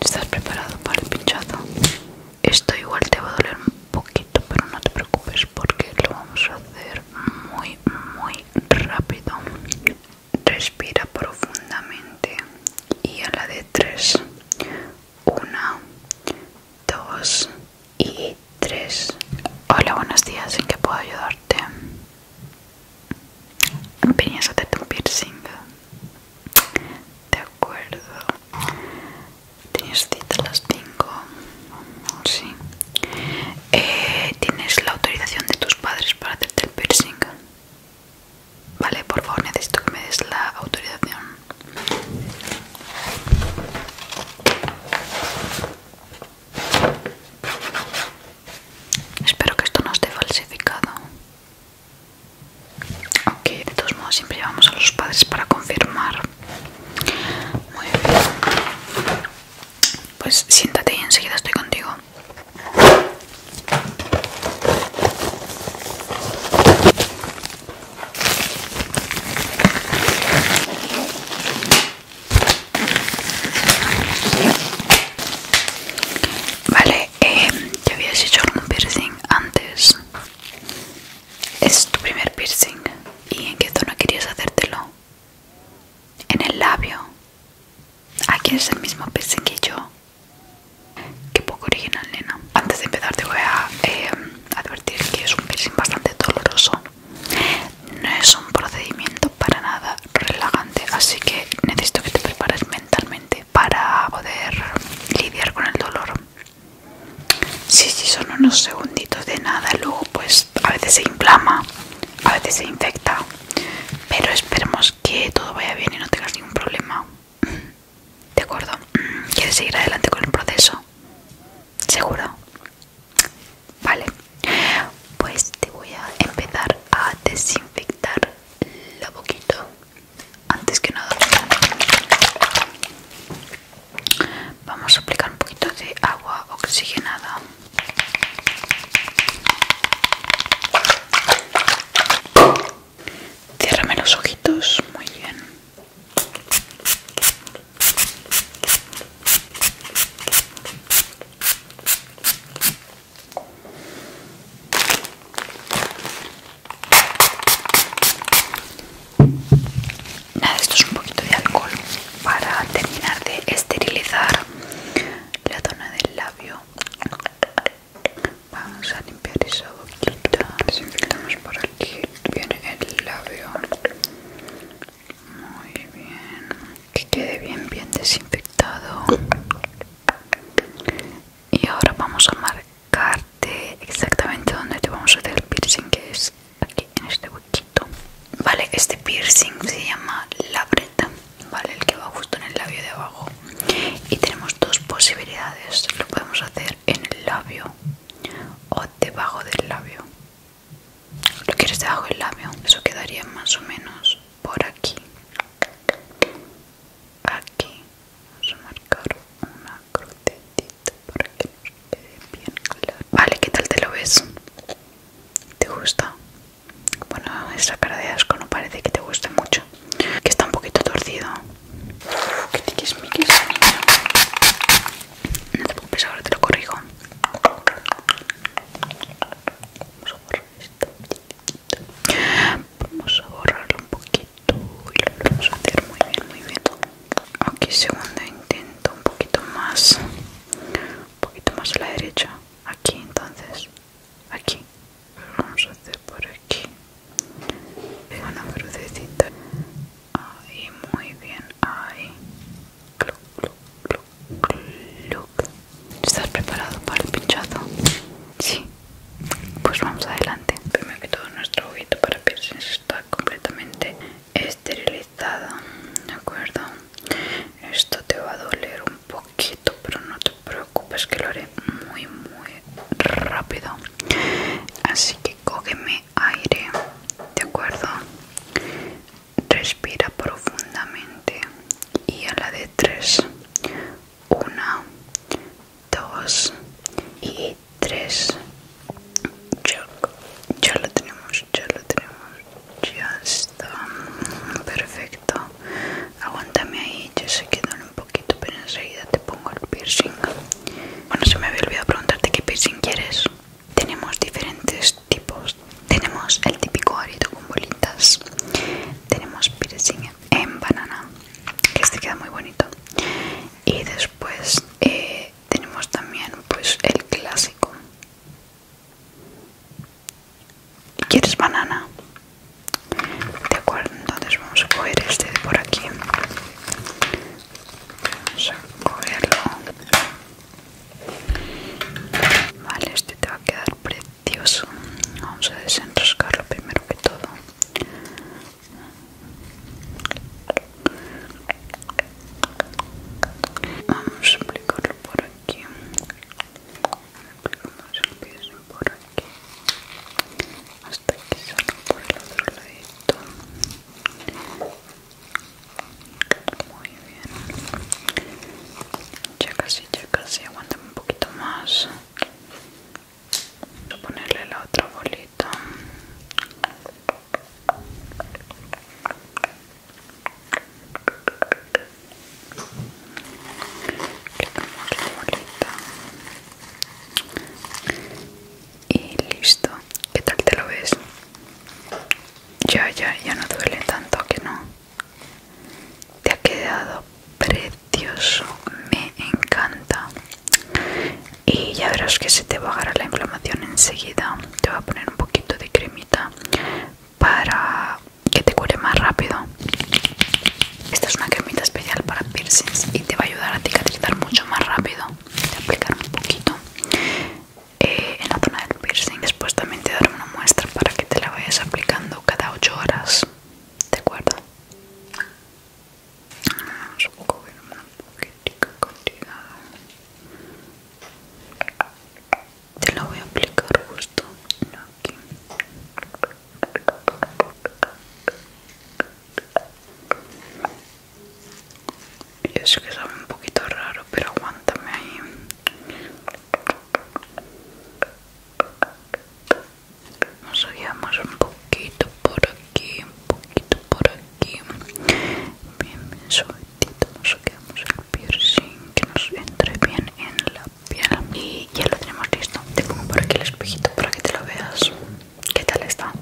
¿Estás preparado para el pinchazo? Esto igual te va a doler un poquito, pero no te preocupes porque lo vamos a hacer muy, muy rápido. Respira profundamente y a la de tres. Una, dos y tres. Hola, buenos días. ¿En qué puedo ayudarte? Venías a hacerte un piercing. De acuerdo. ¿Tienes cita a las 5? Sí. Eh, ¿Tienes la autorización de tus padres para hacerte el piercing? Vale, por favor, necesito que me des la autorización. Espero que esto no esté falsificado aunque de todos modos siempre llevamos a los padres para confirmar muy bien pues siéntate y enseguida estoy contigo Vale, Em, ¿Ya habías hecho un piercing antes. Es tu primer piercing. ¿Y en qué zona querías hacértelo? En el labio. Aquí es el mismo piercing que yo. Qué poco original, nena. Antes de empezar te voy a em, advertir que es un piercing bastante doloroso. No es un procedimiento para nada relajante, así que necesito que te prepares mentalmente para poder lidiar con el dolor sí si, son unos segunditos de nada luego pues a veces se inflama a veces se infecta pero esperemos que todo vaya bien y no tengas ningún problema de acuerdo quieres seguir adelante con el proceso seguro vale pues te voy a empezar a desinfectar la boquita antes que nada vamos a aplicar un poquito de agua oxigenada cierrame los ojitos muy bien Nada, esto es un poquito de alcohol para terminar de esterilizar la zona del labio. Vamos a limpiar esa boquita. Desinfectamos por aquí. Viene el labio. Muy bien que quede bien bien desinfectado y ahora vamos a marcarte exactamente donde te vamos a hacer el piercing que es aquí en este huequito vale este piercing se llama labreta vale el que va justo en el labio de abajo y tenemos dos posibilidades lo podemos hacer en el labio o debajo del labio lo quieres debajo del labio eso quedaría más o menos por aquí aquí vamos a marcar una crucetita para que nos quede bien claro vale qué tal te lo ves te gusta bueno esa cara de asco no parece que te guste mucho que está un poquito torcido que tiquismiquis no te preocupes ahora te lo corrijo vamos a borrar esto vamos a borrarlo un poquito y lo vamos a hacer muy bien muy bien aquí segundo intento un poquito más un poquito más a la derecha aquí entonces aquí lo vamos a hacer por aquí una crucecita ahí muy bien ahí ¿Estás preparado para el pinchazo? Sí. Pues vamos adelante. Primero que todo, nuestro ojito para piercings está completamente esterilizado. ¿De acuerdo? Esto te va a doler un poquito, pero no te preocupes que lo haré muy, muy rápido. Así que cógeme aire. ¿De acuerdo? respira profundamente y a la de tres una dos y tres ya, ya lo tenemos ya lo tenemos ya está perfecto aguántame ahí ya que duele un poquito pero enseguida te pongo el piercing bueno se me había olvidado preguntarte qué piercing quieres tenemos diferentes tipos tenemos el típico arito con bolitas tenemos piercing en banana que este queda muy bonito y después eh, tenemos también pues el clásico ¿Quieres banana? De acuerdo, entonces vamos a coger este de por aquí. Vamos a cogerlo. Vale, este te va a quedar precioso. Vamos a desenroscarlo primero que todo. Vamos a aplicarlo por aquí. Aplicamos por aquí. Hasta que salga por el otro lado muy bien. Ya casi, ya casi. aguanta un poquito más. Voy a ponerle la otra bolita la bolita. Y listo. ¿Qué tal te lo ves? Ya, ya, ya no duele tanto que no. Te ha quedado precioso, me encanta. Y ya verás que se te a agarrar la inflamación enseguida. Te voy a poner un poquito de cremita para que te cure más rápido. Esta es una cremita especial para piercings y te va a ayudar a cicatrizar mucho más rápido. Te voy un poquito eh, en la zona del piercing. Después también te daré una muestra para que te la vayas aplicando cada 8 horas. ¿De acuerdo? Vamos a una poquitica Te la voy a aplicar justo aquí. Y es que sabe un poquito raro, pero aguántame ahí. Nos guiamos un poquito por aquí, un poquito por aquí. Bien, bien Nos guiamos el piercing que nos entre bien en la piel. Y ya lo tenemos listo. Te pongo por aquí el espejito para que te lo veas. ¿Qué tal está?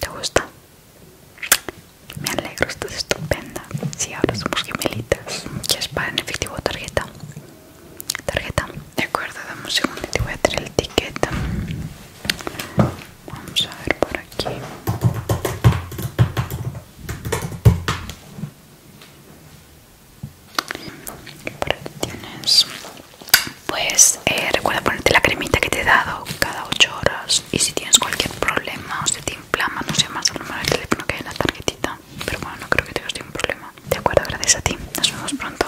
¿Te gusta? Me alegro, estás estupenda. si, ahora somos gemelitas. es para en efectivo tarjeta? Tarjeta. De acuerdo, dame un segundo y te voy a traer el ticket. Vamos a ver por aquí. Por aquí tienes. Pues eh, recuerda ponerte la cremita que te he dado cada 8 horas y si tienes cualquier problema o se te inflama, no sé más el número de teléfono que hay en la tarjetita. Pero bueno, no creo que tengas ningún problema. De acuerdo, gracias a ti. Nos vemos pronto.